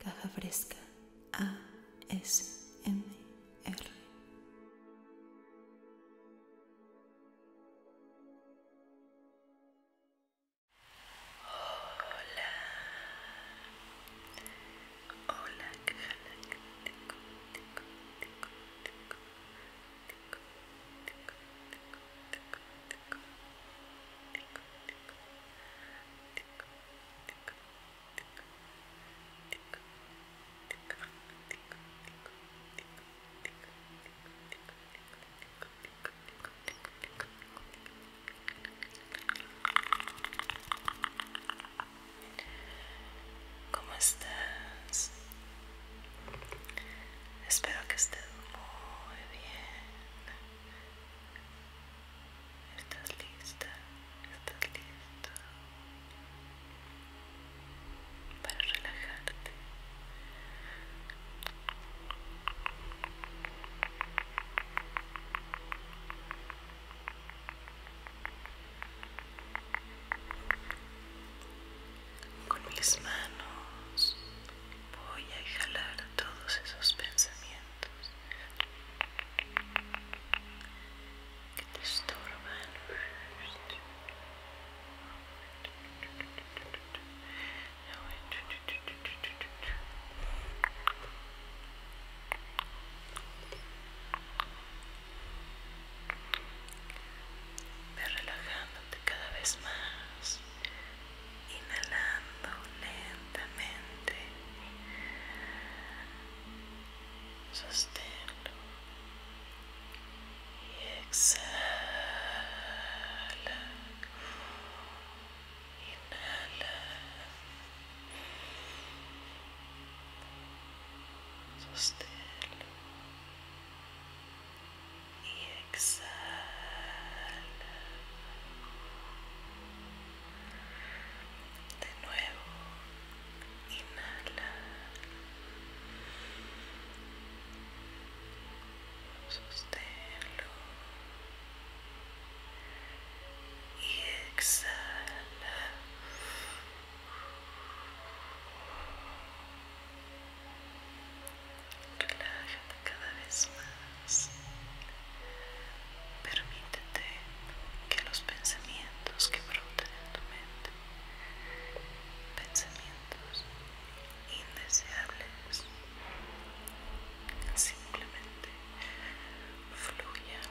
Caja Fresca ASMR. Hola, hola, caja ¿Cómo estás? Espero que estés muy bien. ¿Estás lista? ¿Estás listo? Para relajarte. Con mis manos voy a jalar todos esos pensamientos que te estorban. Ve relajándote cada vez más inhalando lentamente sosténlo y exhala inhala sosténlo y exhala. De nuevo, inhala. Sosténlo y exhala. Relájate cada vez más. Permítete que los pensamientos que broten en tu mente, pensamientos indeseables, simplemente fluyan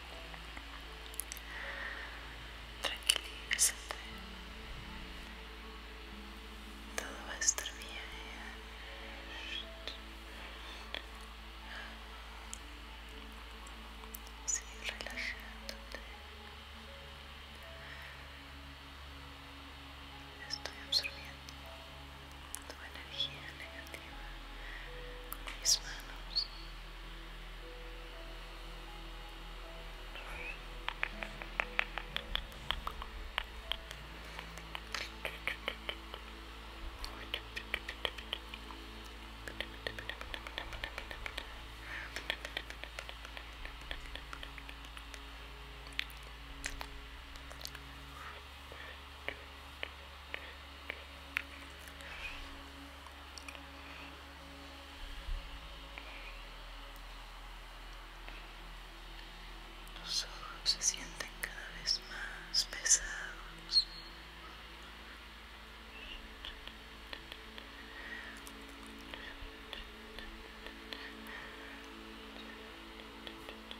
Tranquilízate. Todo va a estar bien. Sigue relajándote. Estoy absorbiendo tu energía negativa con mis manos. Los ojos se sienten cada vez más pesados.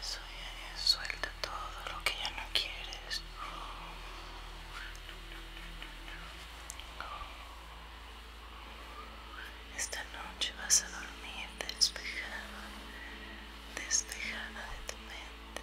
Eso ya, es, suelta todo lo que ya no quieres. Esta noche vas a dormir despejada, despejada de tu mente.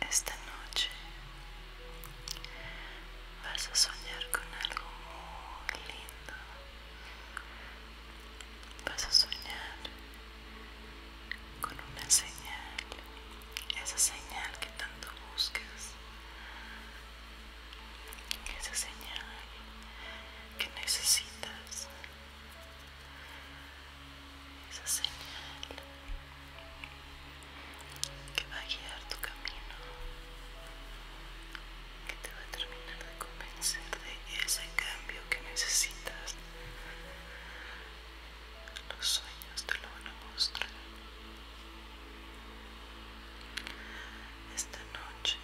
Esta noche vas a soñar con algo muy lindo. Vas a soñar con una señal, esa señal que tanto buscas, esa señal que necesitas, esa señal que va a guiar tu camino, que te va a terminar de convencer de ese cambio que necesitas. Los sueños te lo van a mostrar. Esta noche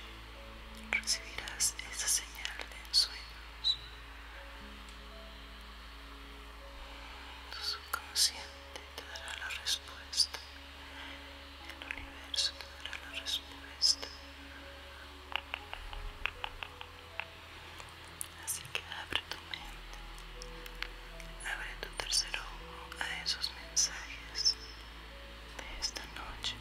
recibirás esa señal de sueños. Tu subconsciente te dará la respuesta. El universo te dará la respuesta. Así que abre tu mente, abre tu tercer ojo a esos mensajes de esta noche.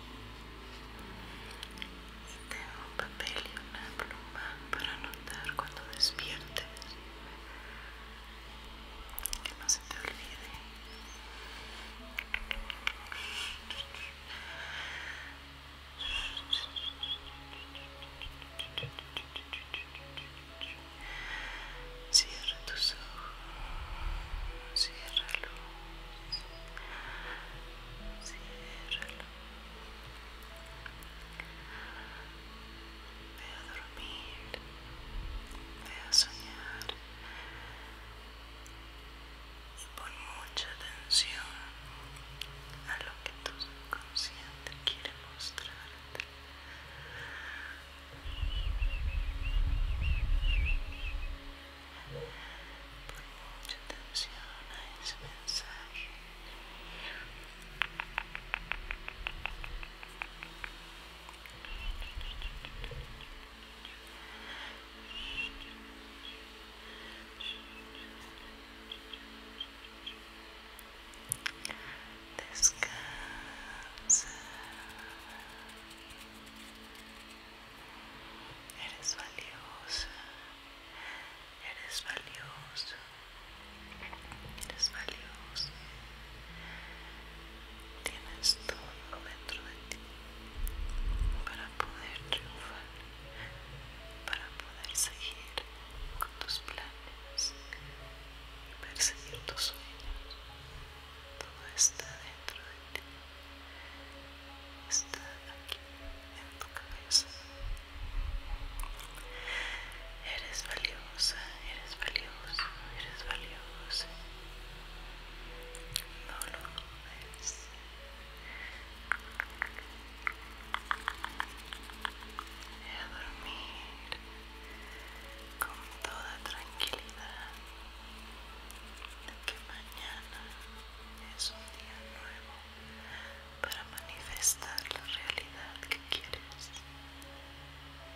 Y tengo un papel y una pluma para anotar cuando despiertes. Que no se te olvide. Cierra tus ojos, ciérralo, ciérralo. Ve a dormir, ve a soñar, y pon mucha atención a lo que tu subconsciente quiere mostrarte. Pon mucha atención a ese mensaje. Descansa. Eres valiosa. Eres valiosa. Eres valiosa. Tienes todo dentro de ti para poder triunfar, para poder seguir con tus planes y perseguir tus sueños. Todo está dentro de ti. Está aquí en tu cabeza. Eres valiosa, eres valiosa, eres valiosa. No lo dudes. y a dormir con toda tranquilidad que mañana es un día nuevo para manifestar la realidad que quieres